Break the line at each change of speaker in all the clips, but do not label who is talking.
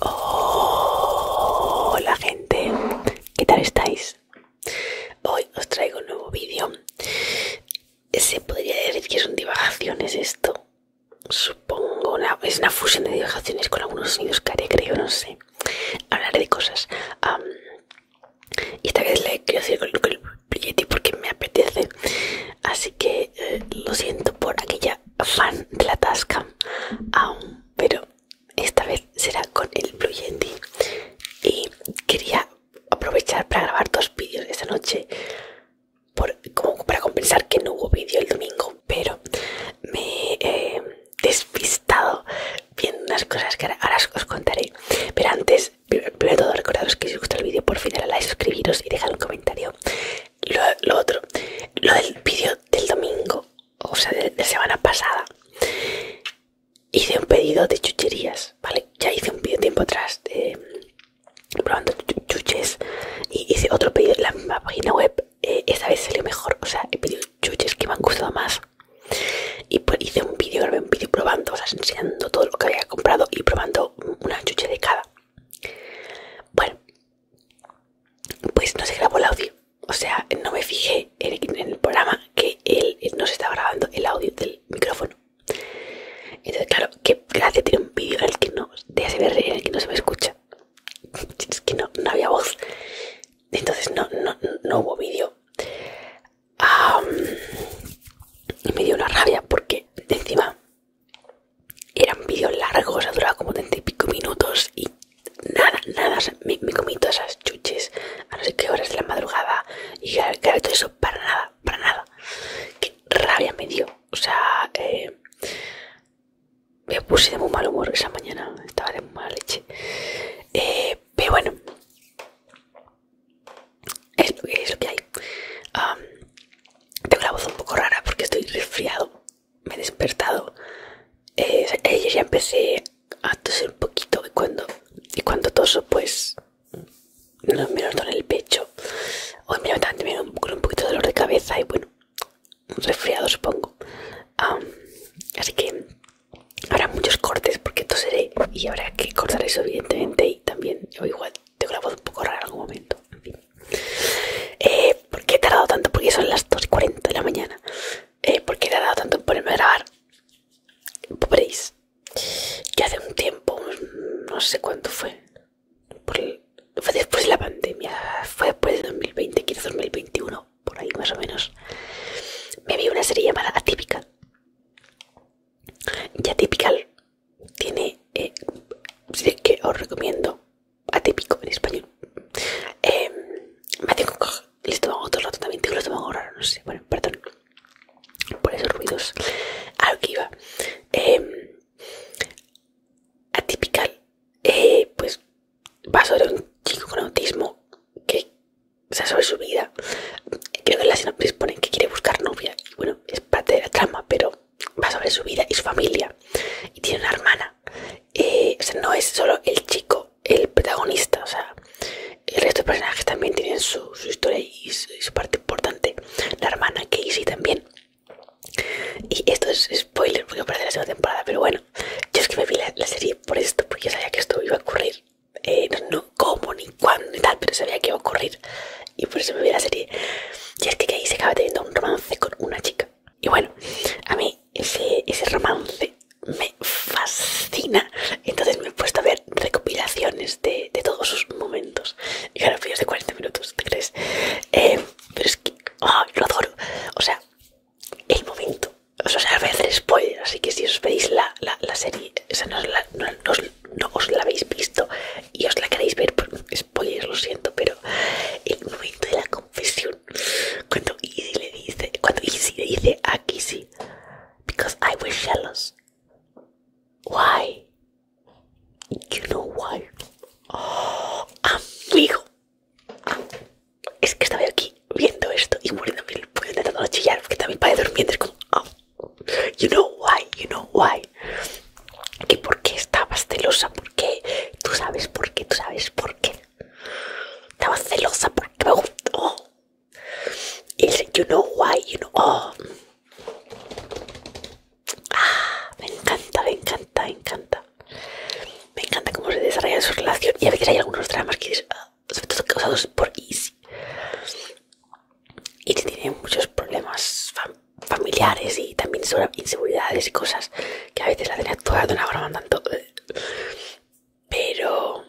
Hola gente, ¿qué tal estáis? Hoy os traigo un nuevo vídeo. Se podría decir que son divagaciones esto. Supongo, es una fusión de divagaciones con algunos sonidos que haré, creo, no sé. Hablaré de cosas. y esta vez le quiero el porque me apetece. Así que eh, lo siento por aquella fan de la tasca pero esta vez será con el Blue Yandy y quería aprovechar para grabar dos vídeos esta noche como para compensar que no hubo vídeo el domingo pero me he eh, despistado viendo unas cosas que ahora, os, contaré pero antes primero de todo recordaros que si os gusta el vídeo por fin like suscribiros y dejad un comentario lo, otro, lo del vídeo del domingo, o sea, de, la semana pasada, hice un pedido de chucherías, ¿vale? Ya hice un vídeo tiempo atrás mm, probando chuches y hice otro pedido en la misma página web. Eh, esta vez salió mejor, o sea, he pedido chuches que me han gustado más. Y pues hice un vídeo, grabé un vídeo probando, o sea, enseñando todo lo que había comprado y probando una chuche de cada. Bueno, pues no se grabó el audio. O sea, no me fijé en el, programa que él no se estaba grabando el audio del micrófono. Entonces, claro, qué gracia tiene un vídeo el que no de que no se me escucha. Es que no, había voz. Entonces no, no, hubo vídeo. y me dio una rabia porque encima eran vídeos largos, o sea, duraba como 30 y pico minutos y nada, nada, me, comí todas esas chuches a no sé qué horas de la madrugada y claro, todo eso para nada, para nada. Qué rabia me dio, o sea, eh, me puse de muy mal humor esa mañana, estaba de muy mala leche. Eh, pero bueno, es lo que, hay. tengo la voz un poco rara porque estoy resfriado me he despertado eh, ya empecé a toser un poquito y cuando, y cuando toso pues no me duele el pecho hoy me levantan un poquito de dolor de cabeza y bueno un resfriado supongo así que habrá muchos cortes porque toseré y habrá que cortar eso evidentemente y también yo igual tengo la voz un poco rara en algún momento eh, ¿Por qué he tardado tanto? Porque son las 2.40 de la mañana. Eh, ¿Por qué he tardado tanto en ponerme a grabar? Veréis Ya hace un tiempo, no sé cuánto fue, fue después de la pandemia, fue después de 2020, quizás 2021, por ahí más o menos, me vi una serie llamada Típica. Y Atypical tiene, eh, que os recomiendo, atípico en español. Eh, me tengo que les también, tengo los no sé, bueno, perdón por esos ruidos. A que iba. Em, atípical, eh, pues va sobre un chico con autismo que o sea, sobre su vida. Creo que en la sinopsis ponen que quiere buscar novia. Y bueno, es parte de la trama, pero va sobre su vida y su familia. Y tiene una hermana no es solo el chico el protagonista, o sea, el resto de personajes también tienen su, historia y su, parte importante. La hermana Casey también. Y esto es spoiler porque aparece la segunda temporada, pero bueno, yo es que me vi la, serie por esto, porque yo sabía que esto iba a ocurrir. Eh, no, cómo, ni cuándo, ni tal, pero sabía que iba a ocurrir. Y por eso me vi la serie. Y es que Casey acaba teniendo un romance con una chica. Y bueno, a mí ese, ese romance me fascina. Entonces me he puesto a ver recopilaciones de, todos sus momentos. Y ahora fíjate, de 40 minutos, ¿te crees? Eh, pero es que lo adoro. O sea, el momento. O sea, voy a hacer spoiler, así que si os veis la, serie, o sea, no, la, os, la habéis visto y os la queréis ver, pues, spoilers lo siento, pero el momento de la confesión cuando Easy le dice, cuando Easy le dice a sí because I was jealous. Why? You know why? amigo. es que estaba aquí viendo esto y muriéndome el puño chillar porque también para dormir es como, oh, you know why, you know why. Que por qué estabas celosa, por qué, tú sabes por qué, tú sabes por qué. Estaba celosa porque me gustó. Y you know why, you know. Oh". Ah, me encanta, me encanta, me encanta. Me encanta cómo se desarrolla su relación. Y a veces hay algunos dramas que son ah, causados por Easy. Easy tiene muchos problemas familiares y también sobre inseguridades y cosas que a veces la tenía actuada de una broma tanto. Pero.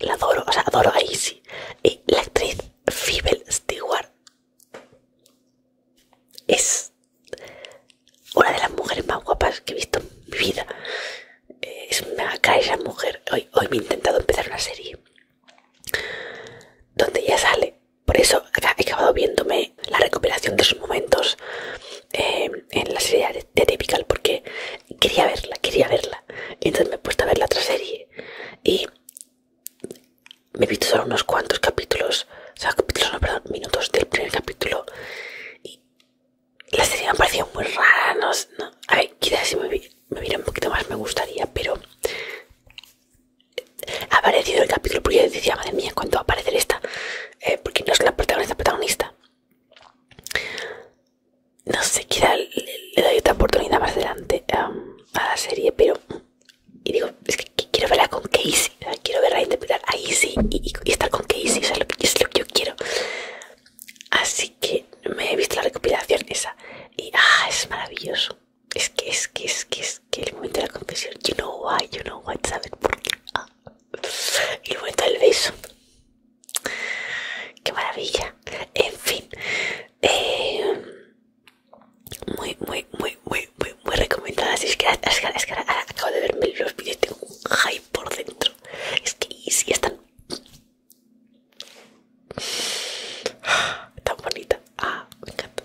la adoro, o sea, adoro a Izzy. Y la actriz Fibel Stewart es una de las mujeres más guapas que he visto en mi vida. Eh, es una cara esa mujer. Hoy, hoy me he intentado empezar una serie donde ella sale por eso he acabado viéndome la recuperación de sus momentos eh, en la serie de, Typical porque quería verla, quería verla. Y entonces me he puesto a ver la otra serie y me he visto solo unos cuantos capítulos, o sea, capítulos, no, perdón, minutos del primer capítulo. Y la serie me ha parecido muy rara, no, no. quizás si me, me un poquito más me gustaría, pero ha aparecido el capítulo porque yo decía, madre mía, ¿cuándo va a aparecer esta? Eh, porque no es la protagonista protagonista. No sé, quizá le, doy otra oportunidad más adelante a la serie, pero... Y digo, es que, quiero verla con Casey, quiero verla interpretar a Casey y, y estar con Casey, es, lo que, yo quiero. Así que me he visto la recopilación esa y ah, es maravilloso. Es que, es que, es que, es que el momento de la confesión, you know why, you know why, ¿sabes por qué? y luego está el beso. Qué maravilla. En fin, eh, muy, muy, muy, muy, muy, muy recomendada. Es que, es que, ahora acabo de verme los vídeos tengo un hype por dentro. Es que si están tan bonita. Ah, me encanta.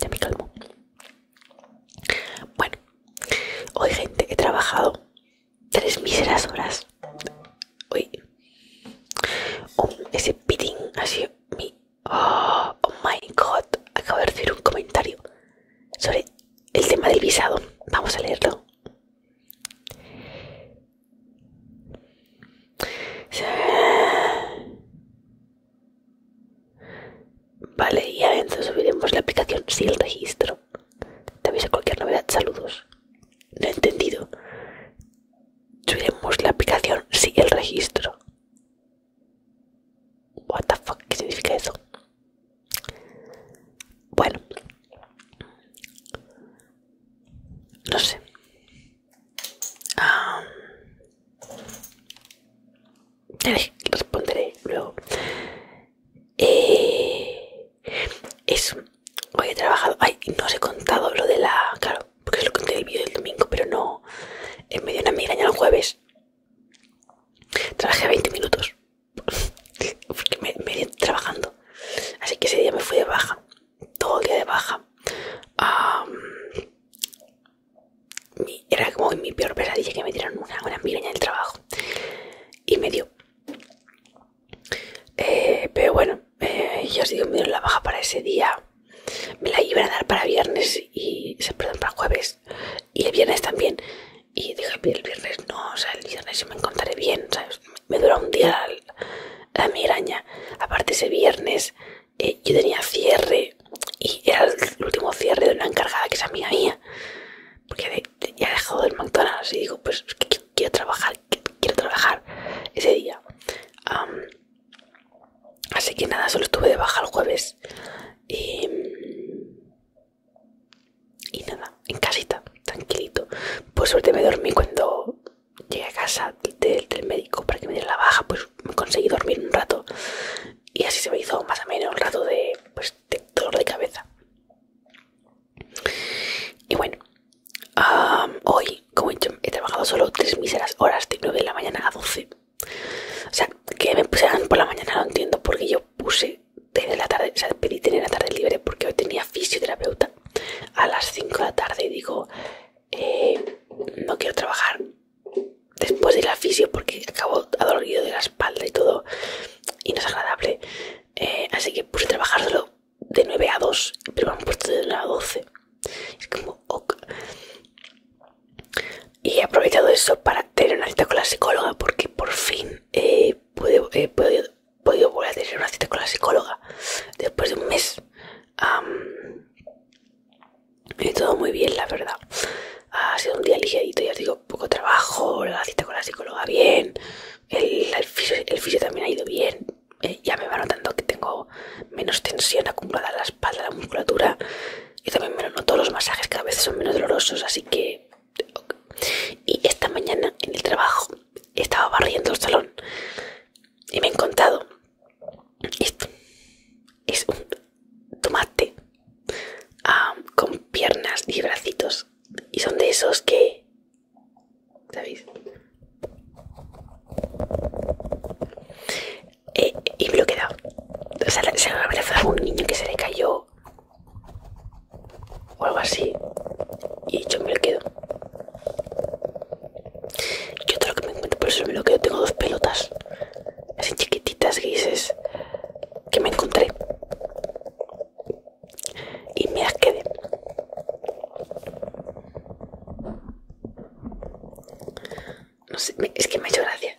ya me calmo. Bueno, hoy gente, he trabajado tres míseras horas. Hoy, um, ese piting ha sido mi... Oh, oh my god, acabo de recibir un comentario sobre el tema del visado. Vamos a leerlo. Vale, y adentro subiremos la aplicación sin el registro. Te avisa cualquier novedad. Saludos. No he entendido. Subiremos la aplicación si el registro. What the fuck, ¿qué significa eso? Bueno no sé ah, responderé luego eh, eso hoy he trabajado ay no os he contado lo de la claro porque lo conté el vídeo del domingo pero no en medio de una ya el jueves trabajé 20 minutos porque me, me trabajando Así que ese día me fui de baja, todo el día de baja. era como mi peor pesadilla que me dieron una, una en del trabajo. Y me dio. Eh, pero bueno, eh, yo os digo, me dieron la baja para ese día. Me la iban a dar para viernes y, se perdón, para jueves. Y el viernes también. Y dije, el viernes no, o sea, el viernes yo me encontraré bien, me dura un día la, miraña. Aparte ese viernes eh, yo tenía cierre y era el último cierre de una encargada que es amiga mía. Porque ya he dejado el McDonald's y digo, pues quiero trabajar, quiero trabajar ese día. así que nada, solo estuve de baja el jueves. Y nada, en casita, tranquilito. Por suerte me dormí cuando llegué a casa del, del médico para que me diera la baja, pues me conseguí dormir un rato. Y así se me hizo más o menos un rato de, pues, de dolor de cabeza. Y bueno, hoy, como he dicho, he trabajado solo tres míseras horas de 9 de la mañana a 12. O sea, que me pusieran por la mañana no entiendo porque yo puse desde la tarde, o sea, pedí tener la tarde libre porque hoy tenía fisioterapeuta a las 5 de la tarde y digo, eh, no quiero trabajar después de ir al fisio porque acabo adolorido de la espalda y todo, y no es agradable. Eh, así que puse a trabajar solo de 9 a 2, pero me han puesto de 9 a 12. Es como, Y he aprovechado eso para tener una cita con la psicóloga porque por fin he eh, puedo podido volver a tener una cita con la psicóloga después de un mes. ha y todo muy bien, la verdad. Ha sido un día ligerito, ya digo, poco trabajo, la cita con la psicóloga bien, el, fisio, también ha ido bien. Eh, ya me va notando que tengo menos tensión acumulada en la espalda, la musculatura. Y también me lo noto los masajes que a veces son menos dolorosos, así que... Y esta mañana en el trabajo estaba barriendo el salón y me he encontrado esto. Es un tomate ah, con piernas y bracitos. Y son de esos que... ¿Sabéis? Eh, y me lo he quedado. O sea, se lo a un niño que se le cayó o algo así y yo me lo quedo yo todo que me encuentro por eso me lo quedo tengo dos pelotas así chiquititas grises que me encontré y me las quedé no sé es que me ha hecho gracia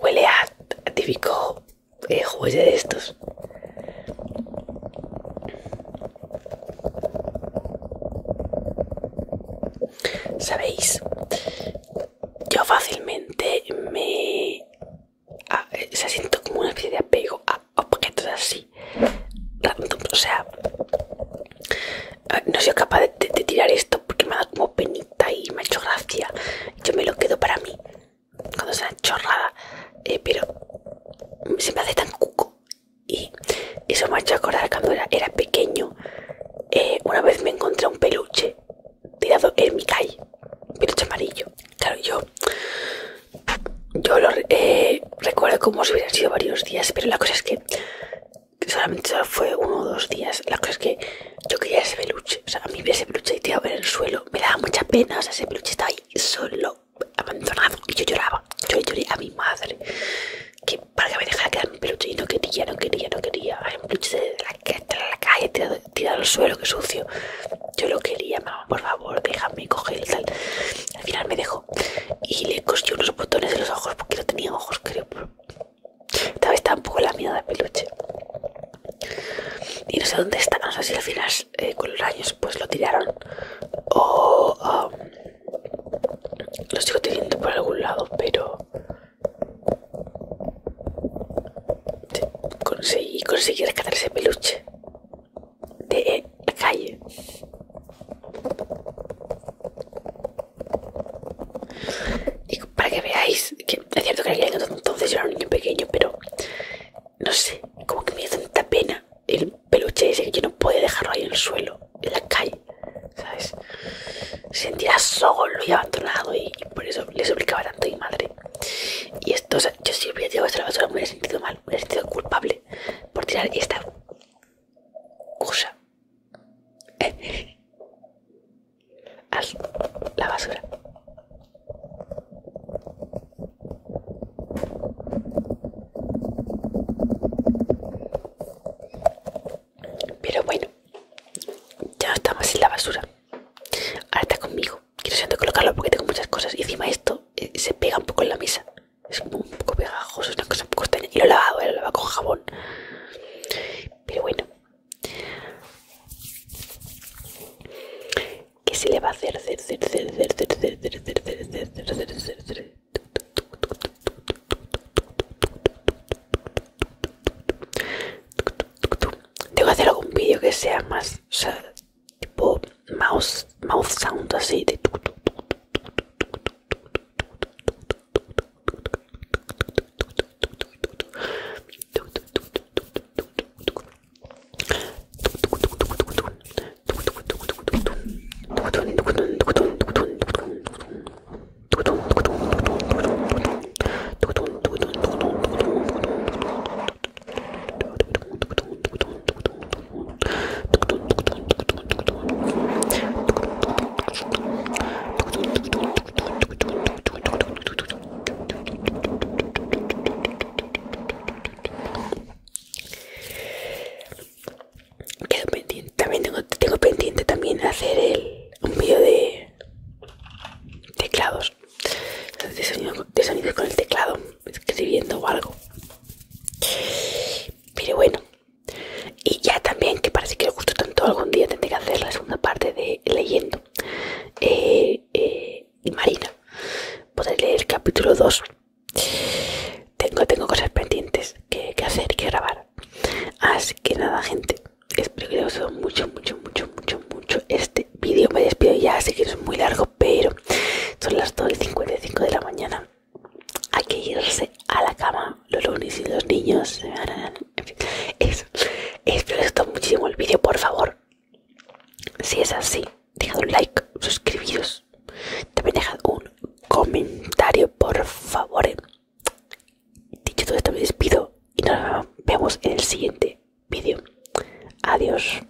Huele a típico eh, de estos. Sabéis, yo fácilmente me... Ah, eh, siento como una especie de apego a objetos así o sea no soy capaz de, tirar esto porque me ha dado como penita y me ha hecho gracia yo me lo quedo para mí cuando sea chorrada eh, pero se me hace tan cuco y eso me ha hecho acordar cuando era, pequeño eh, una vez me encontré un peluche tirado en mi calle peluche amarillo claro yo yo lo eh, recuerdo como si hubieran sido varios días, pero la cosa es que solamente fue uno o dos días. La cosa es que yo quería ese peluche. O sea, a mí ese peluche tirado en el suelo me daba mucha pena. O sea, ese peluche estaba ahí solo, abandonado. Y yo lloraba. Yo lloré a mi madre. Que para que me dejara quedar mi peluche. Y no quería, no quería, no quería. Hay un peluche de la, calle tirado, al suelo, que sucio. Yo lo quería, mamá, por favor, déjame coger el tal. Al final me dejó y le cosí unos botones en los ojos porque no tenía ojos, creo. Esta vez poco la mierda de peluche. Y no sé dónde está, no sé si al final eh, con los años pues lo tiraron o um, lo sigo teniendo por algún lado, pero conseguí, conseguí rescatar ese peluche de la calle. Y para que veáis que es cierto que en aquel entonces yo era un niño pequeño, pero no sé, como que me dio tanta pena el peluche ese que yo no podía dejarlo ahí en el suelo, en la calle, ¿sabes? sentirá solo y abandonado y, por eso les obligaba tanto a mi madre. Y esto, o sea, yo si hubiera tirado esto a la basura me hubiera sentido mal, me hubiera sentido culpable por tirar esta cosa a la basura. Pero bueno, ya estamos en la basura. Ahora está conmigo quiero siento colocarlo porque tengo muchas cosas y encima esto se pega un poco en la mesa. Es como un poco pegajoso, es una cosa un poco extraña. Y lo he lavado, lo he lavado con jabón. Pero bueno. ¿Qué se le va a hacer? Tengo que hacer algún vídeo que sea más, o sea, tipo mouse, mouth sound así de tuc, tuc, pendiente, también tengo, pendiente también hacer el, un vídeo de teclados de sonido con el teclado escribiendo o algo. Pero bueno, y ya también que parece que os gustó tanto, algún día tendré que hacer la segunda parte de leyendo eh, eh, y Marina. Podré leer el capítulo 2. Tengo, tengo cosas pendientes que, hacer que grabar. Así que nada, gente. Espero que les haya gustado mucho, mucho, mucho, mucho, mucho este vídeo. Me despido ya, así que es muy largo pero son las 2 55 de la mañana. Hay que irse a la cama los lunes y los niños. les gustó muchísimo el vídeo, por favor. Si es así, dejad un like, suscribiros. También dejad un comentario, por favor. Dicho todo esto, me despido y nos vemos en el siguiente vídeo. Adiós.